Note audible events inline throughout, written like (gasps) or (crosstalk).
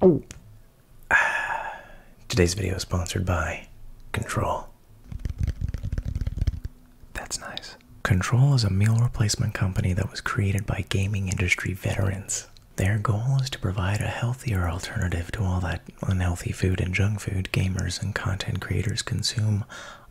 Oh. (sighs) Today's video is sponsored by Control. That's nice. Control is a meal replacement company that was created by gaming industry veterans. Their goal is to provide a healthier alternative to all that unhealthy food and junk food gamers and content creators consume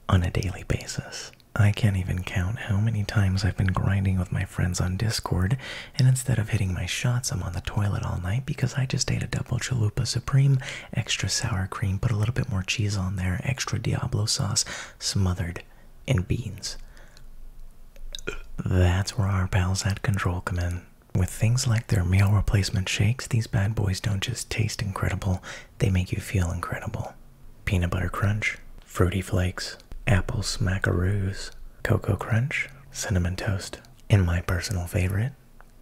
on a daily basis. I can't even count how many times I've been grinding with my friends on Discord and instead of hitting my shots, I'm on the toilet all night because I just ate a double chalupa supreme, extra sour cream, put a little bit more cheese on there, extra Diablo sauce, smothered in beans. That's where our pals at Control come in. With things like their meal replacement shakes, these bad boys don't just taste incredible, they make you feel incredible. Peanut butter crunch, fruity flakes, apple smackaroos, cocoa crunch, cinnamon toast. And my personal favorite,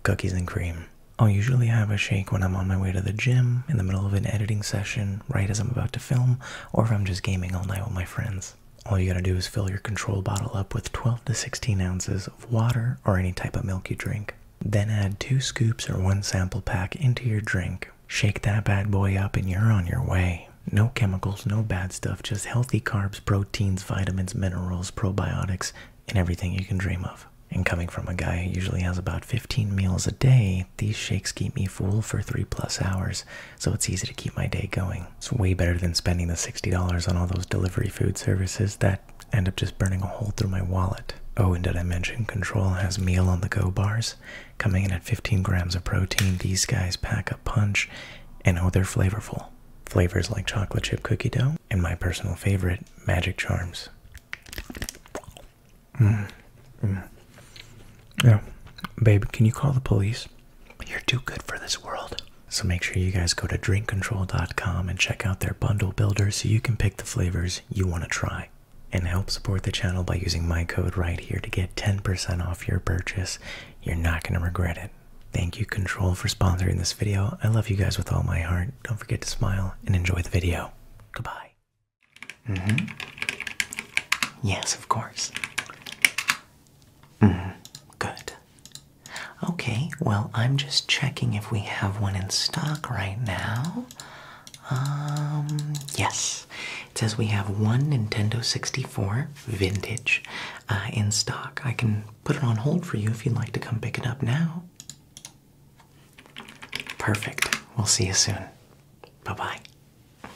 cookies and cream. I'll usually have a shake when I'm on my way to the gym, in the middle of an editing session, right as I'm about to film, or if I'm just gaming all night with my friends. All you gotta do is fill your control bottle up with 12 to 16 ounces of water or any type of milk you drink. Then add two scoops or one sample pack into your drink. Shake that bad boy up and you're on your way. No chemicals, no bad stuff, just healthy carbs, proteins, vitamins, minerals, probiotics, and everything you can dream of. And coming from a guy who usually has about 15 meals a day, these shakes keep me full for three plus hours, so it's easy to keep my day going. It's way better than spending the $60 on all those delivery food services that end up just burning a hole through my wallet. Oh, and did I mention Control has meal on the go bars? Coming in at 15 grams of protein, these guys pack a punch, and oh, they're flavorful flavors like chocolate chip cookie dough, and my personal favorite, Magic Charms. Mm. mm. Yeah, babe, can you call the police? You're too good for this world. So make sure you guys go to drinkcontrol.com and check out their bundle builder so you can pick the flavors you want to try. And help support the channel by using my code right here to get 10% off your purchase. You're not going to regret it. Thank you, Control, for sponsoring this video. I love you guys with all my heart. Don't forget to smile and enjoy the video. Goodbye. Mm -hmm. Yes, of course. Mm -hmm. Good. Okay, well, I'm just checking if we have one in stock right now. Um, yes. It says we have one Nintendo 64 vintage uh, in stock. I can put it on hold for you if you'd like to come pick it up now. Perfect. We'll see you soon. Bye bye.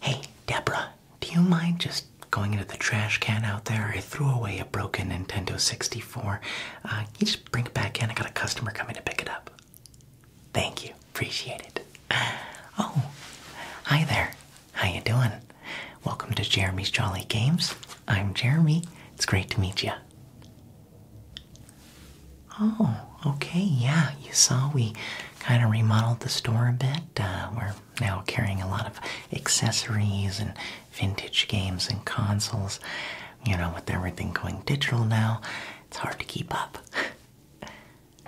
Hey, Deborah, do you mind just going into the trash can out there? I threw away a broken Nintendo 64. Uh, you just bring it back in. I got a customer coming to pick it up. Thank you. Appreciate it. (gasps) Oh, hi there. How you doing? Welcome to Jeremy's Jolly Games. I'm Jeremy. It's great to meet you. Oh, okay, yeah. You saw we kind of remodeled the store a bit. Uh, we're now carrying a lot of accessories and vintage games and consoles. You know, with everything going digital now, it's hard to keep up. (laughs)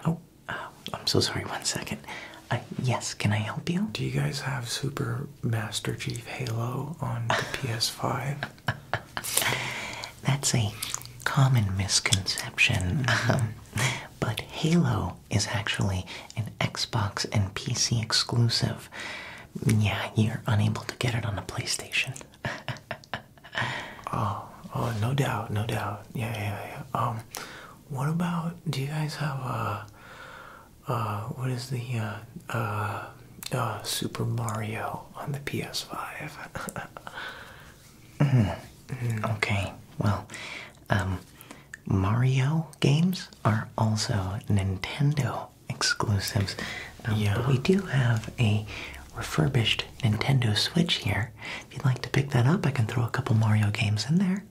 Oh, oh, I'm so sorry. One second. Uh, yes, can I help you? Do you guys have Super Master Chief Halo on the (laughs) PS5? That's a common misconception. Mm-hmm. Um, but Halo is actually an Xbox and PC exclusive. Yeah, you're unable to get it on the PlayStation. (laughs) oh, oh, no doubt, no doubt. Yeah, yeah, yeah. Um, what about? Do you guys have a? Uh, uh, what is the uh, uh, uh, Super Mario on the PS5? (laughs) Okay. Well, um, Mario games are also Nintendo exclusives. Um, yeah. we do have a refurbished Nintendo Switch here. If you'd like to pick that up, I can throw a couple Mario games in there.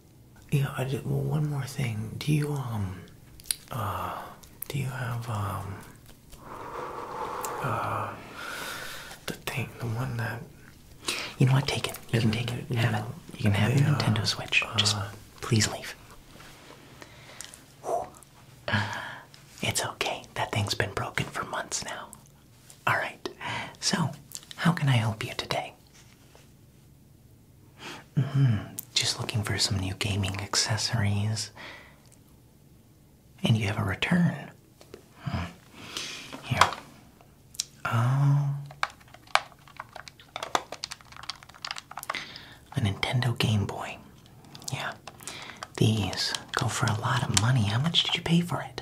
Yeah. well, one more thing. Do you um, uh, do you have um, uh, the thing, the one that? You know what? Take it. You can take it. You have it. You can have the Nintendo Switch. Just uh. please leave. it's okay. That thing's been broken for months now. All right. So, how can I help you today? Mm -hmm. Just looking for some new gaming accessories. And you have a return. Hmm. Oh. A Nintendo Game Boy. Yeah. These go for a lot of money. How much did you pay for it?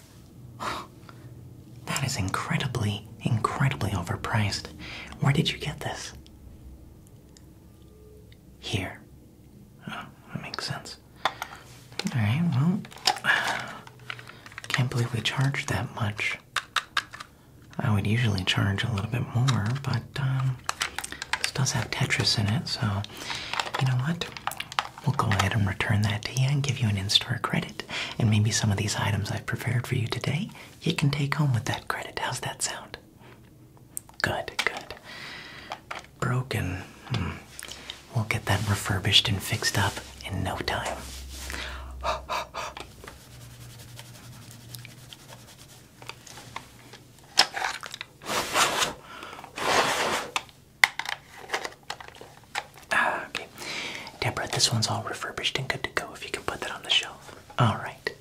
(gasps) That is incredibly, incredibly overpriced. Where did you get this? Here. Oh, that makes sense. Alright, well, (sighs) can't believe we charged that much. I would usually charge a little bit more, but um, this does have Tetris in it, so you know what? we'll go ahead and return that to you and give you an in-store credit. And maybe some of these items I've prepared for you today, you can take home with that credit. How's that sound? Good, good. Broken. Hmm. We'll get that refurbished and fixed up in no time. Ah, okay. Deborah, this one's all refurbished and good to go if you can put that on the shelf. Alright.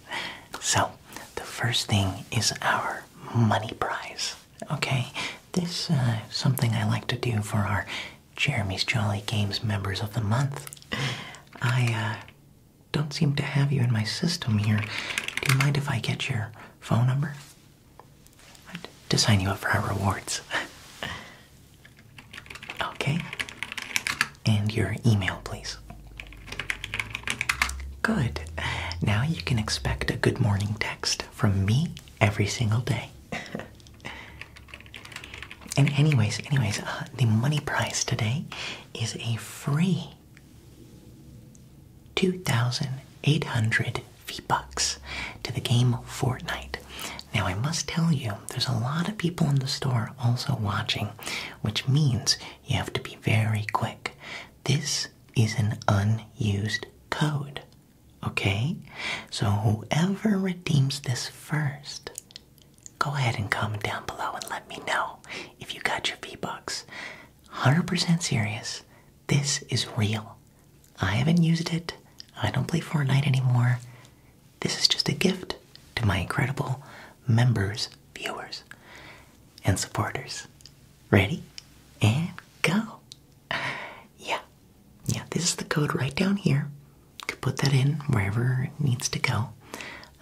So, the first thing is our money prize. Okay? This is uh, something I like to do for our Jeremy's Jolly Games members of the month. I uh, don't seem to have you in my system here. Do you mind if I get your phone number? to sign you up for our rewards. (laughs) okay. And your email, please. Good. Now you can expect a good morning text from me every single day. (laughs) and anyways, anyways, uh, the money prize today is a free 2,800 V-Bucks to the game Fortnite. Now, I must tell you, there's a lot of people in the store also watching, which means you have to be very quick. This is an unused code, okay? So, whoever redeems this first, go ahead and comment down below and let me know if you got your V-Bucks. 100% serious, this is real. I haven't used it. I don't play Fortnite anymore. This is just a gift to my incredible members, viewers, and supporters. Ready? And go. Yeah. Yeah, this is the code right down here. You can put that in wherever it needs to go.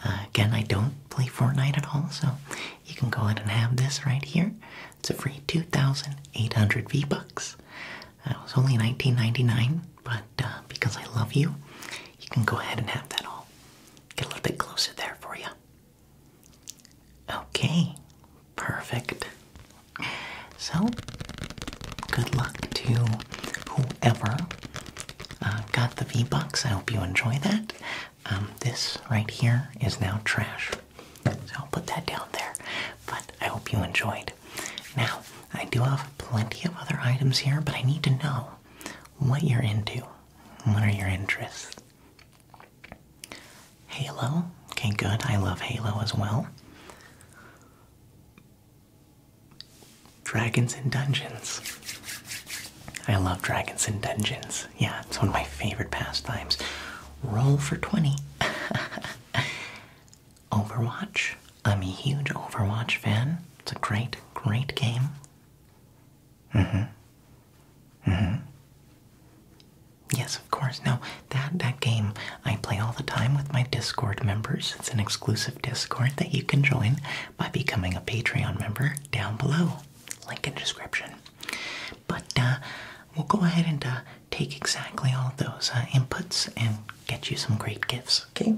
Uh, again, I don't play Fortnite at all, so you can go ahead and have this right here. It's a free 2,800 V-Bucks. It was only 19.99, but uh, because I love you, you can go ahead and have that all. Get a little bit closer there for you. Okay, perfect. So, good luck to whoever uh, got the V box. I hope you enjoy that. Um, this right here is now trash, so I'll put that down there. But I hope you enjoyed now, I do have plenty of other items here, but I need to know what you're into. What are your interests? Halo. Okay, good. I love Halo as well. Dragons and Dungeons. I love Dragons and Dungeons. Yeah, it's one of my favorite pastimes. Roll for 20. (laughs) Overwatch. I'm a huge Overwatch fan. It's a great, great game. hmm hmm Yes, of course. Now that that game I play all the time with my Discord members. It's an exclusive Discord that you can join by becoming a Patreon member down below. Link in description. But uh, we'll go ahead and uh, take exactly all those uh, inputs and get you some great gifts, okay?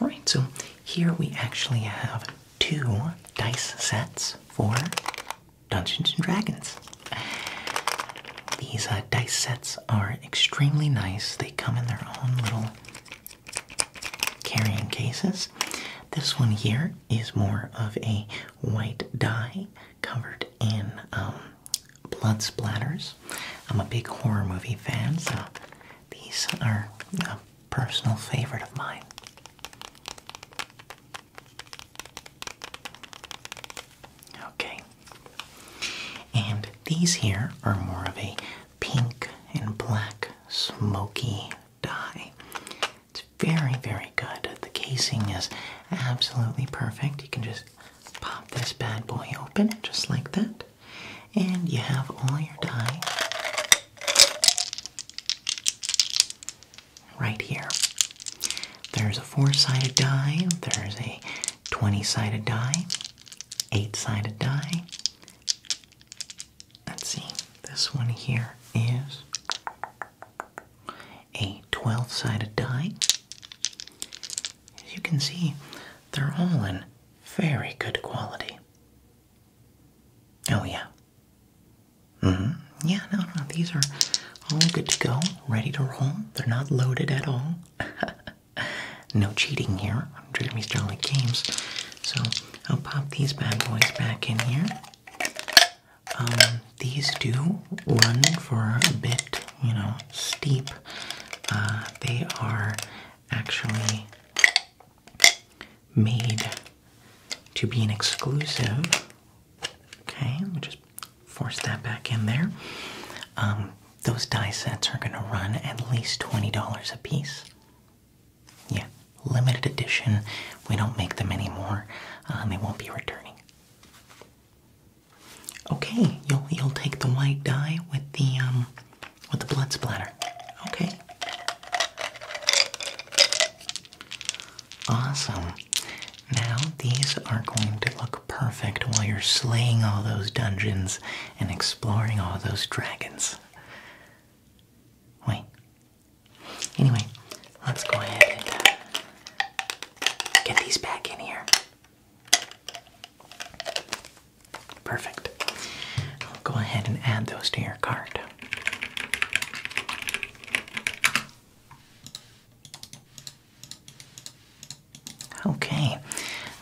Alright, so here we actually have two dice sets for Dungeons and Dragons. These uh, dice sets are extremely nice. They come in their own little carrying cases. This one here is more of a white die covered in um, blood splatters. I'm a big horror movie fan, so these are a personal favorite of mine. Okay. And these here are more of a pink and black smoky dye. It's very, very good. The casing is absolutely perfect. You can just Pop this bad boy open just like that, and you have all your die right here. There's a four sided die, there's a 20 sided die, eight sided die. Let's see, this one here is a 12 sided die. As you can see, they're all in very good quality. Oh, yeah. -hmm. Yeah, no, no, these are all good to go, ready to roll. They're not loaded at all. (laughs) no cheating here on Jeremy's Jolly Games. So I'll pop these bad boys back in here. Um, these do run for a bit, you know, steep. Uh, they are actually made to be an exclusive. Okay, let me just force that back in there. Um, those die sets are going to run at least $20 a piece. Yeah, limited edition. We don't make them anymore, uh, they won't be returning. Okay, you'll you'll take the white dye with the um with the blood splatter. Okay. Awesome. Now these are going to look perfect while you're slaying all those dungeons and exploring all those dragons. Wait. Anyway, let's go ahead and get these back in here. Perfect. I'll go ahead and add those to your cart. Okay,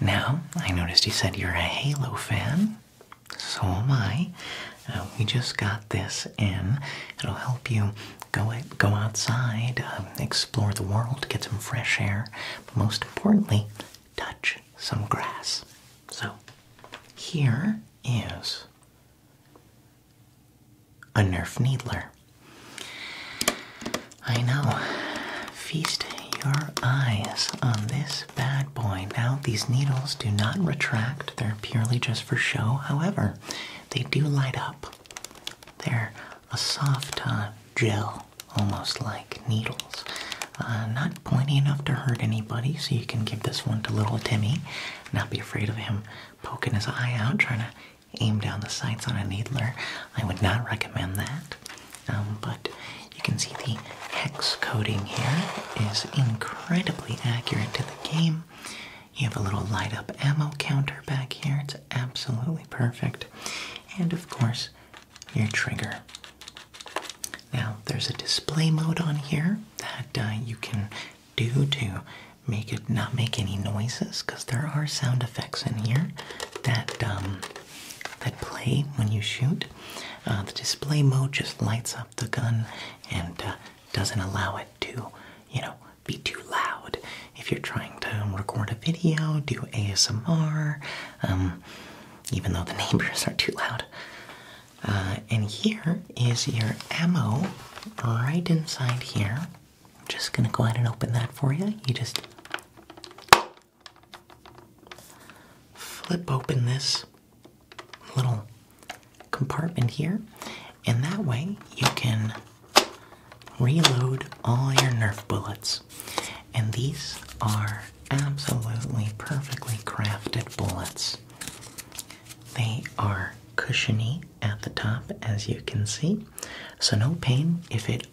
now I noticed you said you're a Halo fan. So am I. Uh, we just got this in. It'll help you go go outside, um, explore the world, get some fresh air, but most importantly, touch some grass. So, here is a Nerf needler. I know. Feast your eyes on this bad boy. Now, these needles do not retract, they're purely just for show. However, they do light up. They're a soft uh, gel, almost like needles. Uh, not pointy enough to hurt anybody, so you can give this one to little Timmy. Not be afraid of him poking his eye out, trying to aim down the sights on a needler. I would not recommend that. Um, but you can see the hex coding here is incredibly accurate to the game. You have a little light up ammo counter back here absolutely perfect. And of course, your trigger. Now, there's a display mode on here that uh, you can do to make it not make any noises, because there are sound effects in here that um, that play when you shoot. Uh, the display mode just lights up the gun and uh, doesn't allow it to, you know, be too loud if you're trying to record a video, do ASMR, um, even though the (laughs) neighbors are too loud. Uh, and here is your ammo right inside here. I'm just gonna go ahead and open that for you. You just flip open this little compartment here, and that way you can reload all your Nerf bullets. And these are absolutely perfectly crafted bullets. They are cushiony at the top, as you can see. So, no pain. If it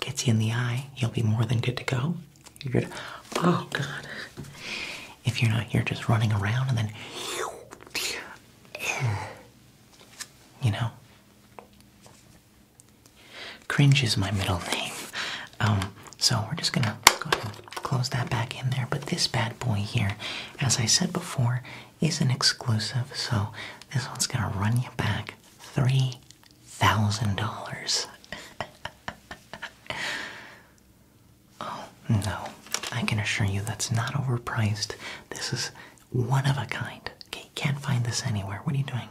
gets you in the eye, you'll be more than good to go. You're good. Oh, God. If you're not, here, just running around and then. You know? Cringe is my middle name. Um, so we're just gonna close that back in there. But this bad boy here, as I said before, is an exclusive. So this one's gonna run you back three thousand dollars. (laughs) Oh no, I can assure you that's not overpriced. This is one of a kind. Okay, can't find this anywhere. What are you doing?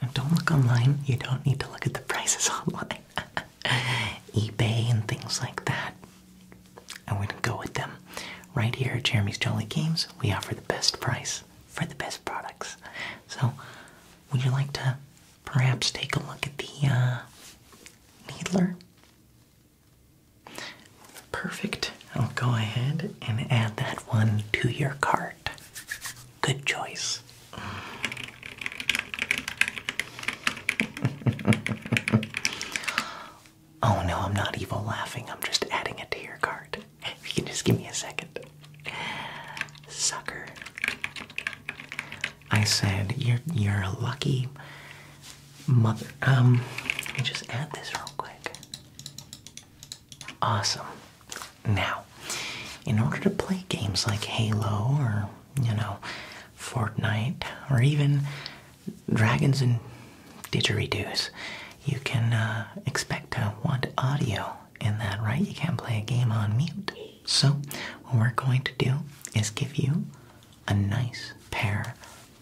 And don't look online. You don't need to look at the prices (laughs) online. (laughs) eBay and things like that. I would to go with them. Right here at Jeremy's Jolly Games, we offer the best price for the best products. So, would you like to perhaps take a look at the uh, Needler? Perfect. I'll go ahead and add that one to your cart. Good choice. (laughs) oh no, I'm not evil laughing. I'm just adding it to your cart. If you can just give me a second. Sucker. I said you're you're a lucky mother. Um, let me just add this real quick. Awesome. Now, in order to play games like Halo or, you know, Fortnite or even Dragons and Didgeridoos, you can uh, expect to want audio in that, right? You can't play a game on mute. So, what we're going to do is give you a nice pair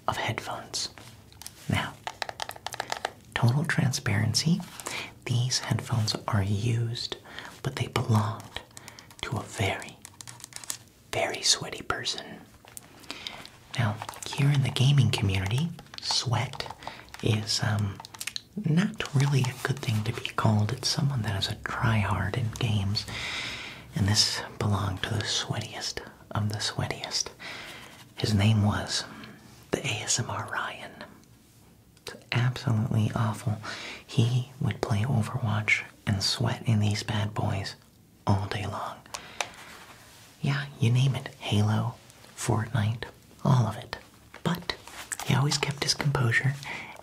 of headphones. Now, total transparency, these headphones are used, but they belonged to a very, very sweaty person. Now, here in the gaming community, sweat is um, not really a good thing to be called. It's someone that is a tryhard in games, and this belonged to the sweatiest of the sweatiest. His name was the ASMR Ryan. It's absolutely awful. He would play Overwatch and sweat in these bad boys all day long. Yeah, you name it. Halo, Fortnite, all of it. But he always kept his composure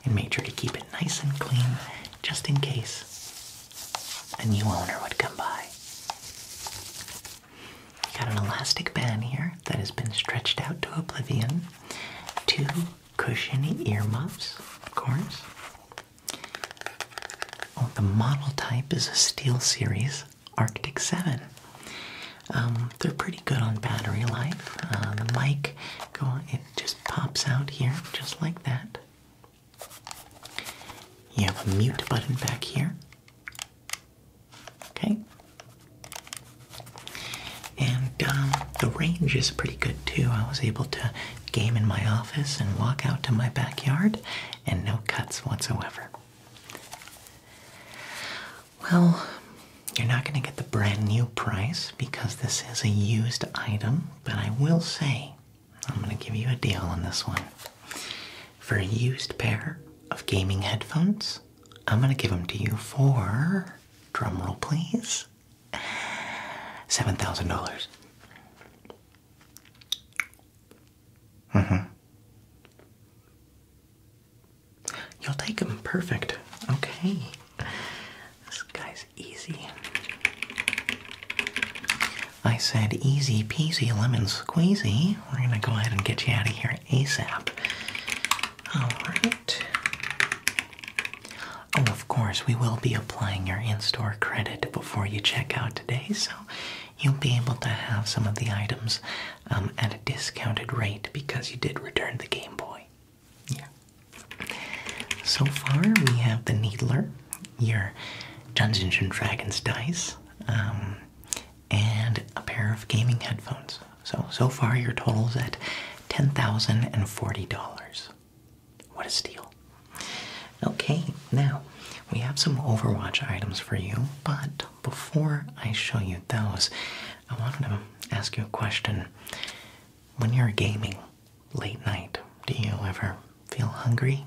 and made sure to keep it nice and clean just in case a new owner would come by. You got an elastic band here that has been stretched out to oblivion. Two cushiony muffs, of course. Oh, the model type is a Steel Series Arctic 7. Um, they're pretty good on battery life. Uh, the mic, go it just pops out here, just like that. You have a mute button back here, Okay. And um, the range is pretty good too. I was able to game in my office and walk out to my backyard, and no cuts whatsoever. Well, you're not going to get the brand new price because this is a used item, but I will say I'm going to give you a deal on this one. For a used pair of gaming headphones, I'm going to give them to you for, drum roll please, $7,000. Mm-hmm. You'll take them perfect. Okay. This guy's easy. I said, easy peasy lemon squeezy. We're gonna go ahead and get you out of here ASAP. Alright. Oh, of course, we will be applying your in store credit before you check out today, so you'll be able to have some of the items um, at a discounted rate because you did return the Game Boy. Yeah. So far, we have the Needler, your Dungeons and Dragons dice, um, and a pair of gaming headphones. So, so far your total is at $10,040. What a steal. Okay, now we have some Overwatch items for you, but before I show you those, I wanted to ask you a question. When you're gaming late night, do you ever feel hungry?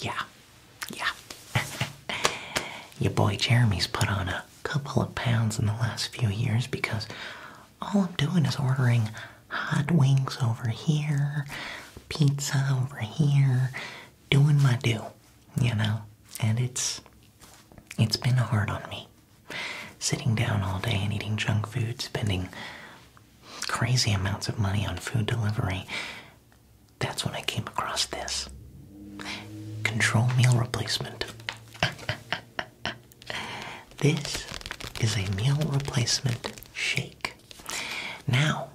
Yeah, yeah. (laughs) Your boy Jeremy's put on a couple of pounds in the last few years because all I'm doing is ordering hot wings over here, pizza over here, doing my deal, you know? And it's it's been hard on me. Sitting down all day and eating junk food, spending crazy amounts of money on food delivery, that's when I came across this control meal replacement. (laughs) this is a meal replacement shake. Now,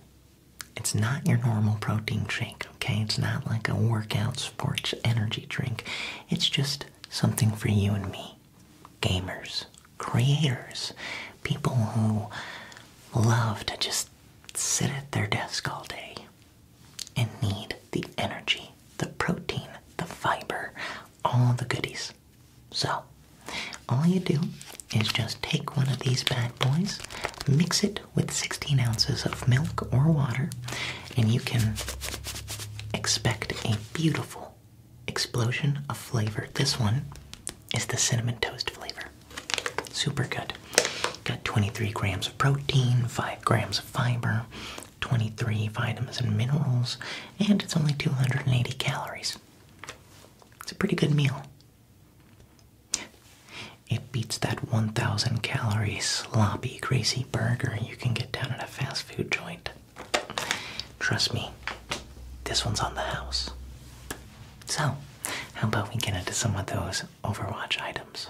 it's not your normal protein shake, okay? It's not like a workout sports energy drink. It's just something for you and me. Gamers, creators, people who love to just sit at their desk all day and need the energy, the protein, the fiber, all the goodies. So, all you do is just take one of these bad boys, mix it with 16 ounces of milk or water, and you can expect a beautiful explosion of flavor. This one is the cinnamon toast flavor. Super good. Got 23 grams of protein, 5 grams of fiber, 23 vitamins and minerals, and it's only 280 calories. It's a pretty good meal. It beats that 1,000 calorie sloppy, greasy burger you can get down at a fast food joint. Trust me, this one's on the house. So, how about we get into some of those Overwatch items?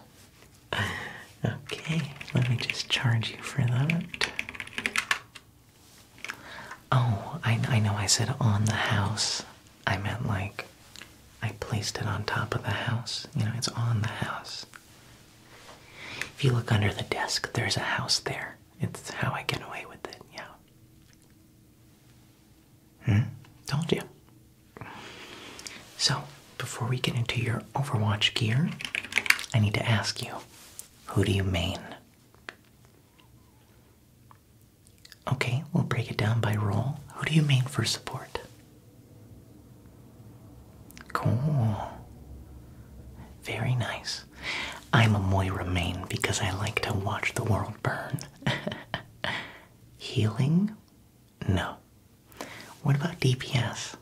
Okay, let me just charge you for that. Oh, I, I know I said on the house. I meant like I placed it on top of the house. You know, it's on the house. If you look under the desk, there's a house there. It's how I get away with it, yeah. Hmm? Told you. So, before we get into your Overwatch gear, I need to ask you who do you main? Okay, we'll break it down by role. Who do you main for support? Cool. Very nice. I'm a Moira main because I like to watch the world burn. (laughs) Healing? No. What about DPS?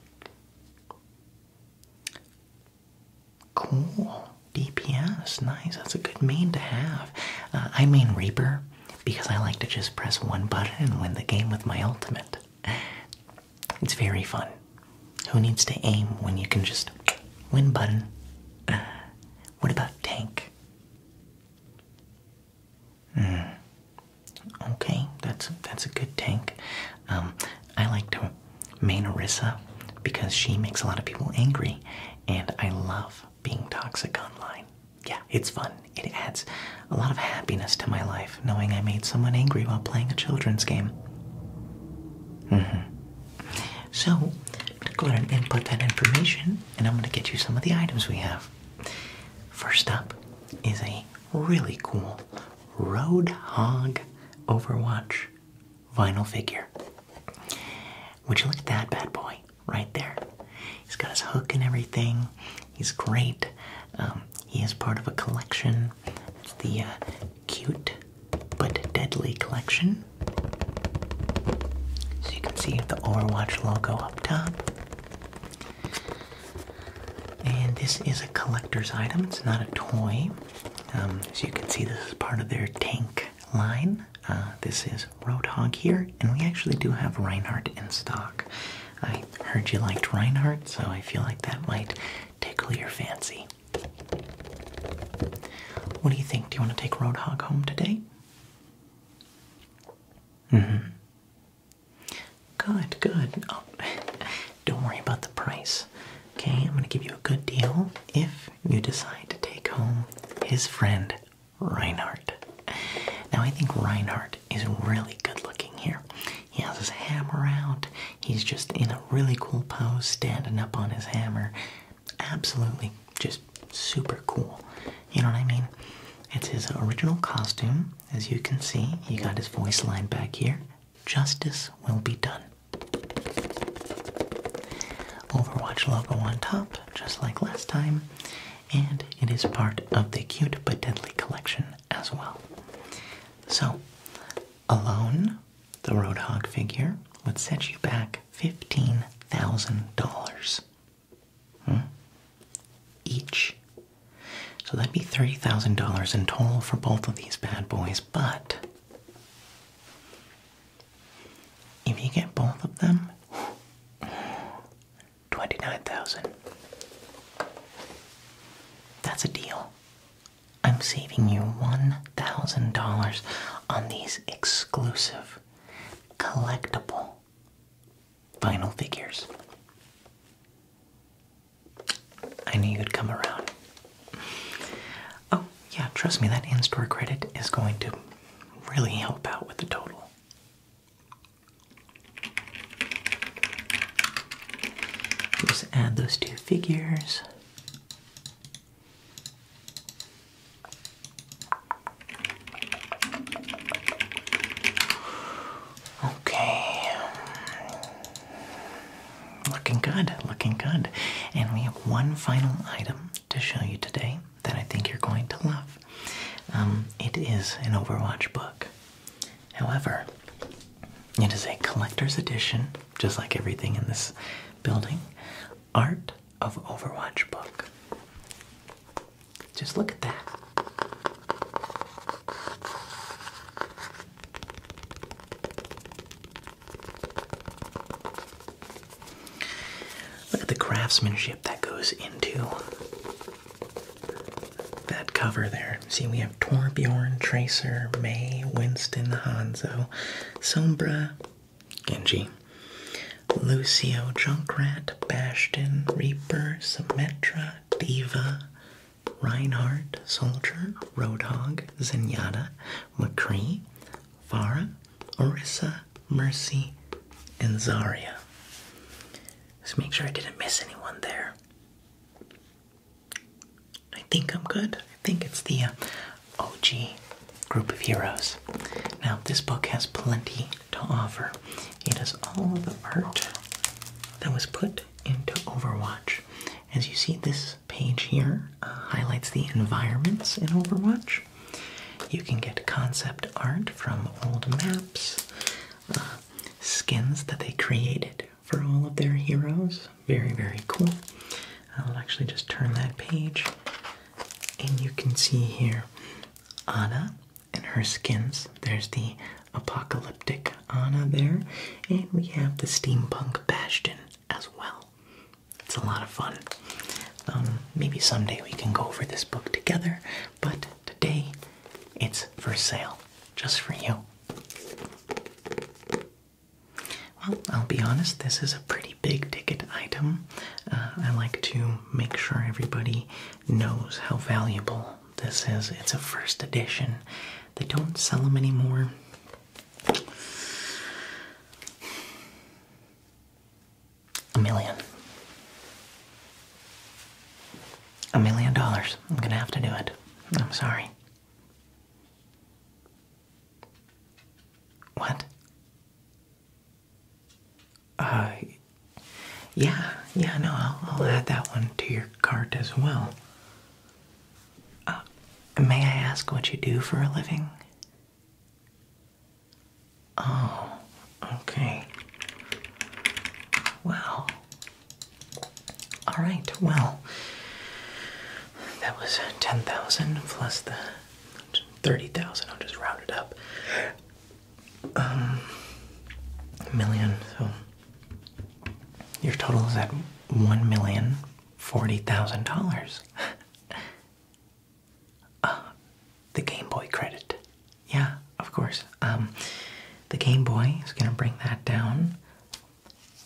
Cool. DPS. Nice. That's a good main to have. Uh, I main Reaper because I like to just press one button and win the game with my ultimate. It's very fun. Who needs to aim when you can just win button? Uh, what about tank? Mm. Okay, that's that's a good tank. Um, I like to main Orisa because she makes a lot of people angry, and I love being toxic online. Yeah, it's fun. It adds a lot of happiness to my life knowing I made someone angry while playing a children's game. Mm-hmm. So to go and input that information and I'm going to get you some of the items we have. First up is a really cool Roadhog Overwatch vinyl figure. Would you look at that bad boy right there? He's got his hook and everything. He's great. Um, he is part of a collection. It's the uh, cute but deadly collection. So you can see the Overwatch logo up top. And this is a collector's item, it's not a toy. Um, as you can see, this is part of their tank line. Uh, this is Roadhog here, and we actually do have Reinhardt in stock. I heard you liked Reinhardt, so I feel like that might tickle your fancy. What do you think? Do you want to take Roadhog home today? -hmm. Good, good. Oh, (laughs) don't worry about the price. Okay, I'm gonna give you a good deal if you decide to take home his friend Reinhardt. Now, I think Reinhardt is really good looking here. He has his hammer out, he's just in a really cool pose, standing up on his hammer. Absolutely just super cool. You know what I mean? It's his original costume, as you can see. He got his voice line back here. Justice will be done. Overwatch logo on top, just like last time, and it is part of the Cute But Deadly collection as well. So, alone, the Roadhog figure would set you back $15,000. Hmm? Each. So that'd be $30,000 in total for both of these bad boys, but if you get both of them, 29,000. That's a deal. I'm saving you $1,000 on these exclusive collectible Final figures. I knew you'd come around. Oh, yeah, trust me, that in store credit is going to really help out with the total. Just add those two figures. Okay. Looking good, looking good. And we have one final item to show you today that I think you're going to love. Um, it is an Overwatch book. However, it is a collector's edition, just like everything in this building, Art of Overwatch book. Just look at that. Look at the craftsmanship that goes into that cover there. See, we have Torbjorn, Tracer, May, Winston, Hanzo, Sombra, Genji. Lucio Junkrat, Bastion, Reaper, Symmetra, Diva, Reinhardt, Soldier, Roadhog, Zenyatta, McCree, Farah, Orisa, Mercy, and Zarya. Let's make sure I didn't miss anyone there. I think I'm good. I think it's the uh, OG group of heroes. Now, this book has plenty to offer. It is all the art that was put into Overwatch. As you see, this page here uh, highlights the environments in Overwatch. You can get concept art from old maps, uh, skins that they created for all of their heroes. Very, very cool. I'll actually just turn that page, and you can see here Anna and her skins. There's the apocalyptic Anna there, and we have the steampunk Bastion as well. It's a lot of fun. Um, maybe someday we can go over this book together, but today it's for sale, just for you. Well, I'll be honest, this is a pretty big ticket item. Uh, I like to make sure everybody knows how valuable this is. It's a first edition. They don't sell them anymore. A million. A million dollars. I'm gonna have to do it. I'm sorry. What? Uh, yeah, yeah, no, I'll, add that one to your cart as well. Uh, may I ask what you do for a living? Oh, okay. Wow. All right, well, that was 10,000 plus the 30,000. I'll just round it up um, million. So your total is at one million forty thousand dollars. (laughs) Uh, the Game Boy credit. Yeah, of course. Um, the Game Boy is going to bring that down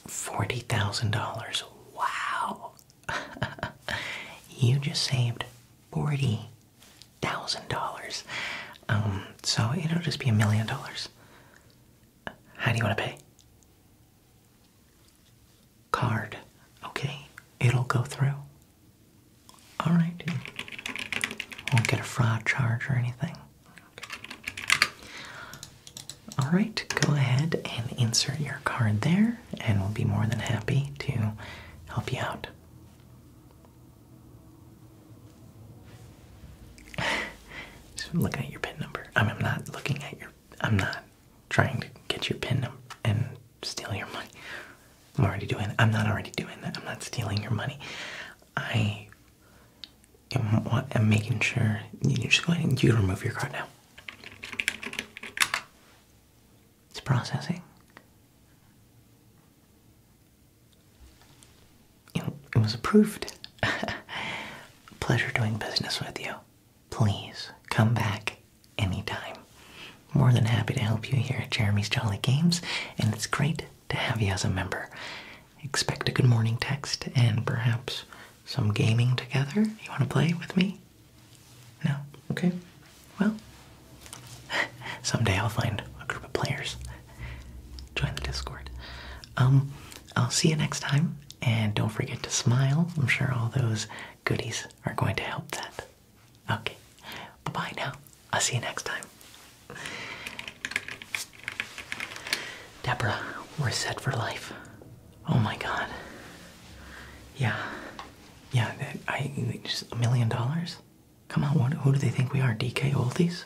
$40,000. Wow. (laughs) you just saved forty thousand dollars. Um, so it'll just be a million dollars. How do you want to pay? Card. Okay, it'll go through. All right. Won't get a fraud charge or anything. All right, go ahead and insert your card there, and we'll be more than happy to help you out. I'm looking at your pin number. I'm, not looking at your. I'm not trying to get your pin number and steal your money. I'm already doing. That. I'm not already doing that. I'm not stealing your money. I am. I'm making sure you just go ahead and you remove your card now. It's processing. It was approved. (laughs) Pleasure doing business with you. Please come back anytime. More than happy to help you here at Jeremy's Jolly Games, and it's great to have you as a member. Expect a good morning text and perhaps some gaming together. You want to play with me? No? Okay. Well, (laughs) someday I'll find a group of players. Join the Discord. Um, I'll see you next time, and don't forget to smile. I'm sure all those goodies are going to help that. Okay, bye bye now. I'll see you next time. Deborah, we're set for life. Oh my god. Yeah. Yeah, I just a million dollars? Come on, who do they think we are? DK Oldies?